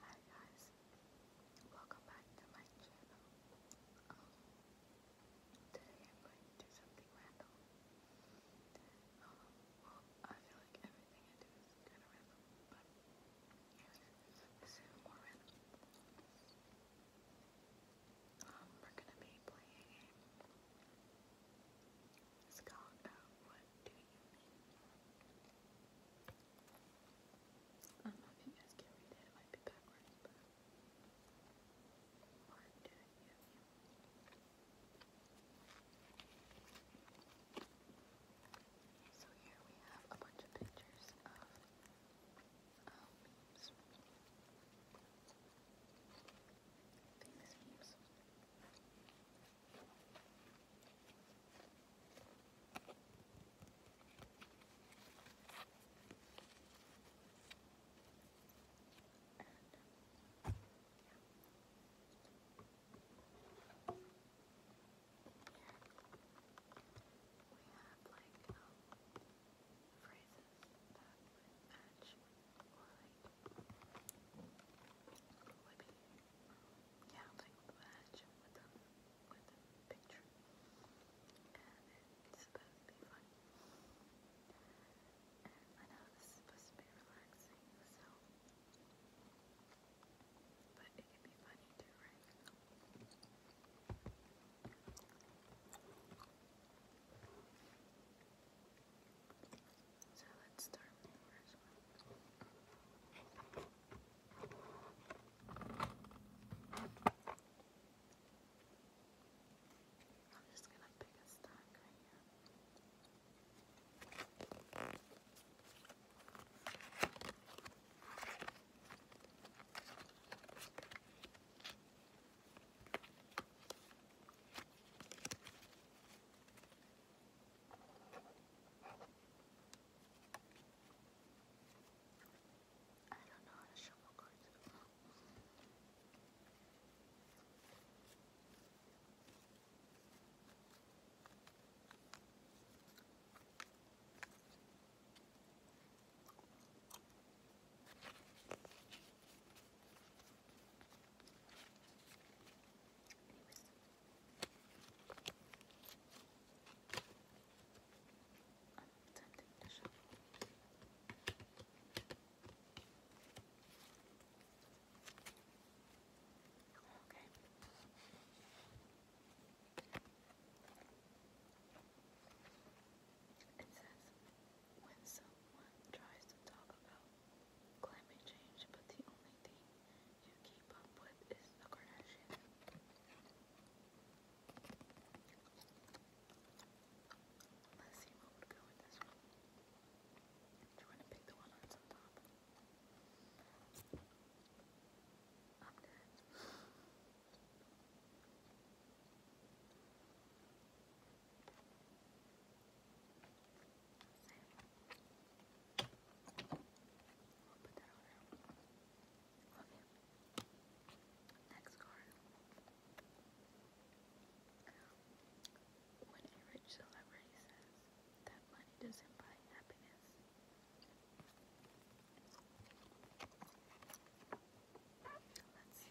Hi guys, welcome back to my channel. Um, today I'm going to do something random. Um, well, I feel like everything I do is kind of random, but this is even more random. Um, we're gonna be playing a it's uh, What Do You I don't know if you guys can read it, might be backwards, but What Do You So here we have a bunch of pictures of um, and, yeah. we have like um, phrases that match or like would be yeah, like the badge with the with the picture. it's supposed to be fun. I know this is supposed to be relaxing, so but it can be funny too, right? So let's start with the first one. I'm just gonna pick a stack right here. I don't know how to shuffle cards attempting to Okay. It says, when someone tries to talk about climate change, but the only thing you keep up with is the Kardashians. Let's see what would go with this one. Do you want to pick the one on top? I'm dead i you. Next card. When a rich celebrity says that money doesn't buy happiness. Let's see.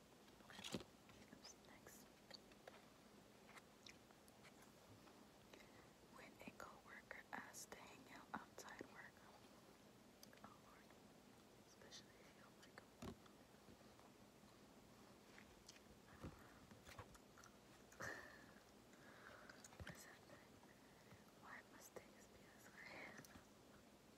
Okay, When a co-worker to hang out outside work. Oh Lord. Especially if you like when you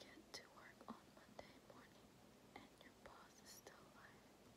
get to work on Monday morning and your boss is still alive,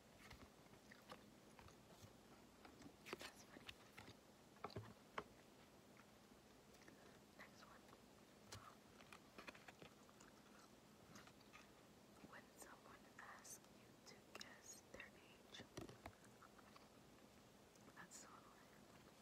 That's funny. Next one. When someone asks you to guess their age, that's so annoying.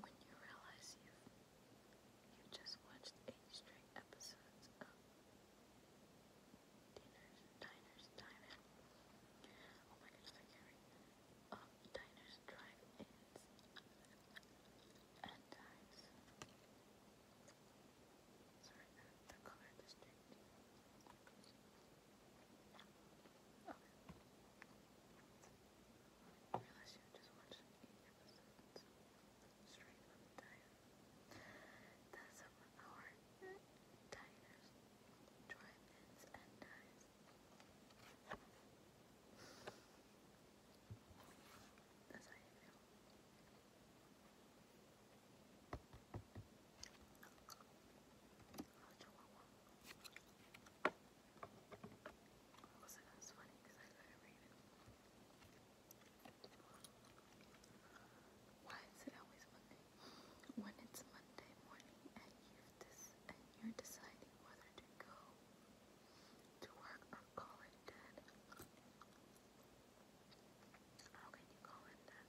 when you realize you've you just watched eight straight episodes of Diners, Diners, Dining. Oh my goodness, I can't um, diners, drive-ins, and dives. Sorry, the, color district. Okay. I realized you just watched eight episodes straight on the diet. That's of our diners, drive-ins, and dives. That's how you feel. Oh, Chihuahua. Also, Why is it always Monday? When it's Monday morning and you are deciding whether to go to work or call it dead. How can you call it dead?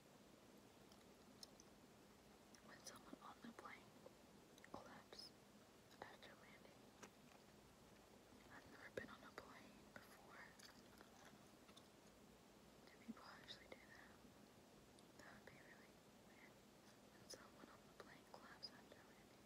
When someone on the plane collapsed after landing, I've never been on a plane before. Do people actually do that? That would be really weird. When someone on the plane collapsed after landing.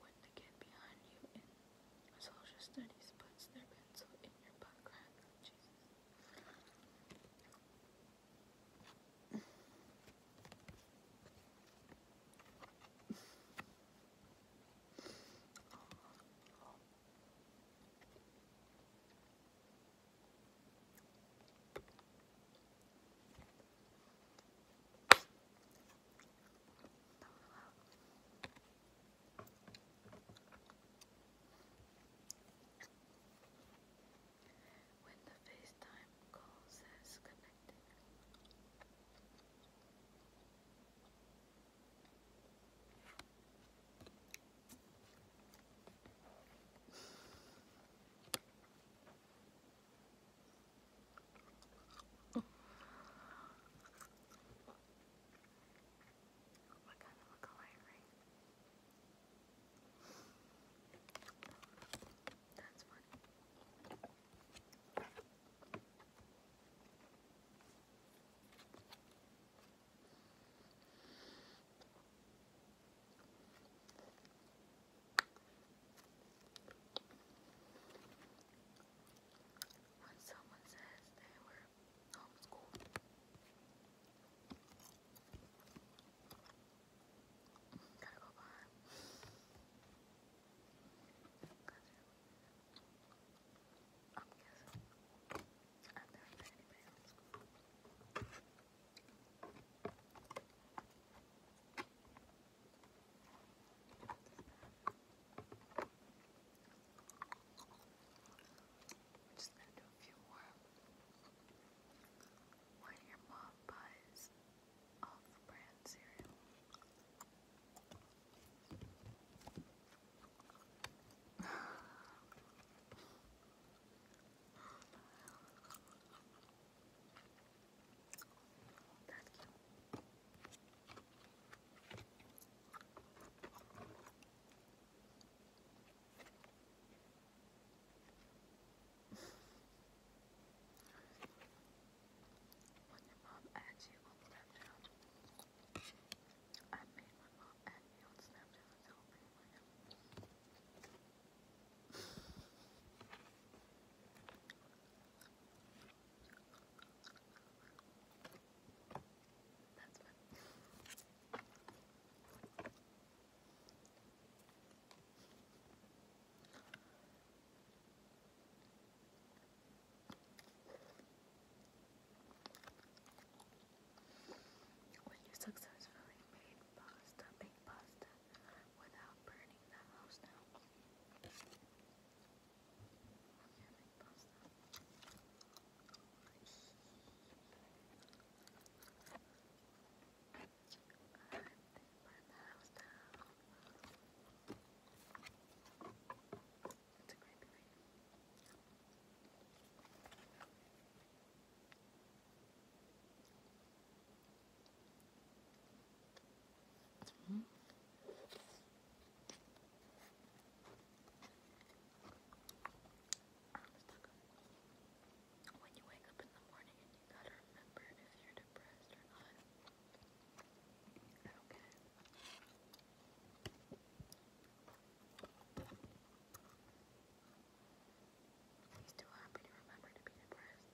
When the kid behind you in social studies puts their pencil in your butt Jesus. When the FaceTime call says connected. What kind of a color, right? That's funny. When someone says they were homeschooled, I'm guessing I've never anybody homeschooled. We're just gonna do a few more. When your mom buys off brand cereal. When your mom adds you on oh, Snapchat, I made my mom add me on Snapchat and tell me where that's When you successfully made pasta, baked pasta, without burning the house down. Organic pasta. the house down. It's a great belief. When you wake up in the morning and you gotta remember if you're depressed or not. Okay. He's too happy to remember to be depressed.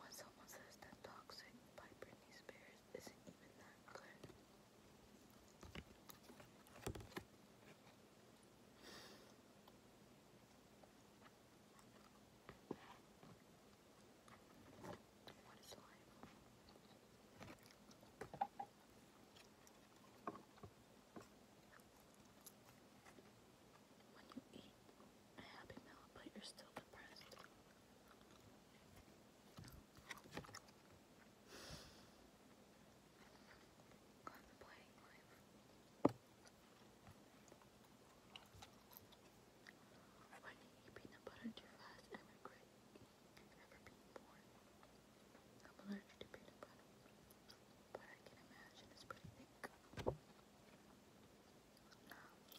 When someone says that toxic by Britney Spears crisp What is life? When you eat a happy meal, but you're still depressed contemplating When you eat peanut butter too fast I'm allergic to peanut butter, but I can imagine it's pretty thick.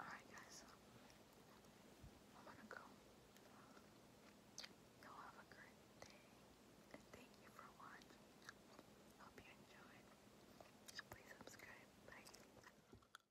Alright, guys. I'm gonna go. Go have a great day. thank you for watching. Hope you enjoyed. Please subscribe. Bye.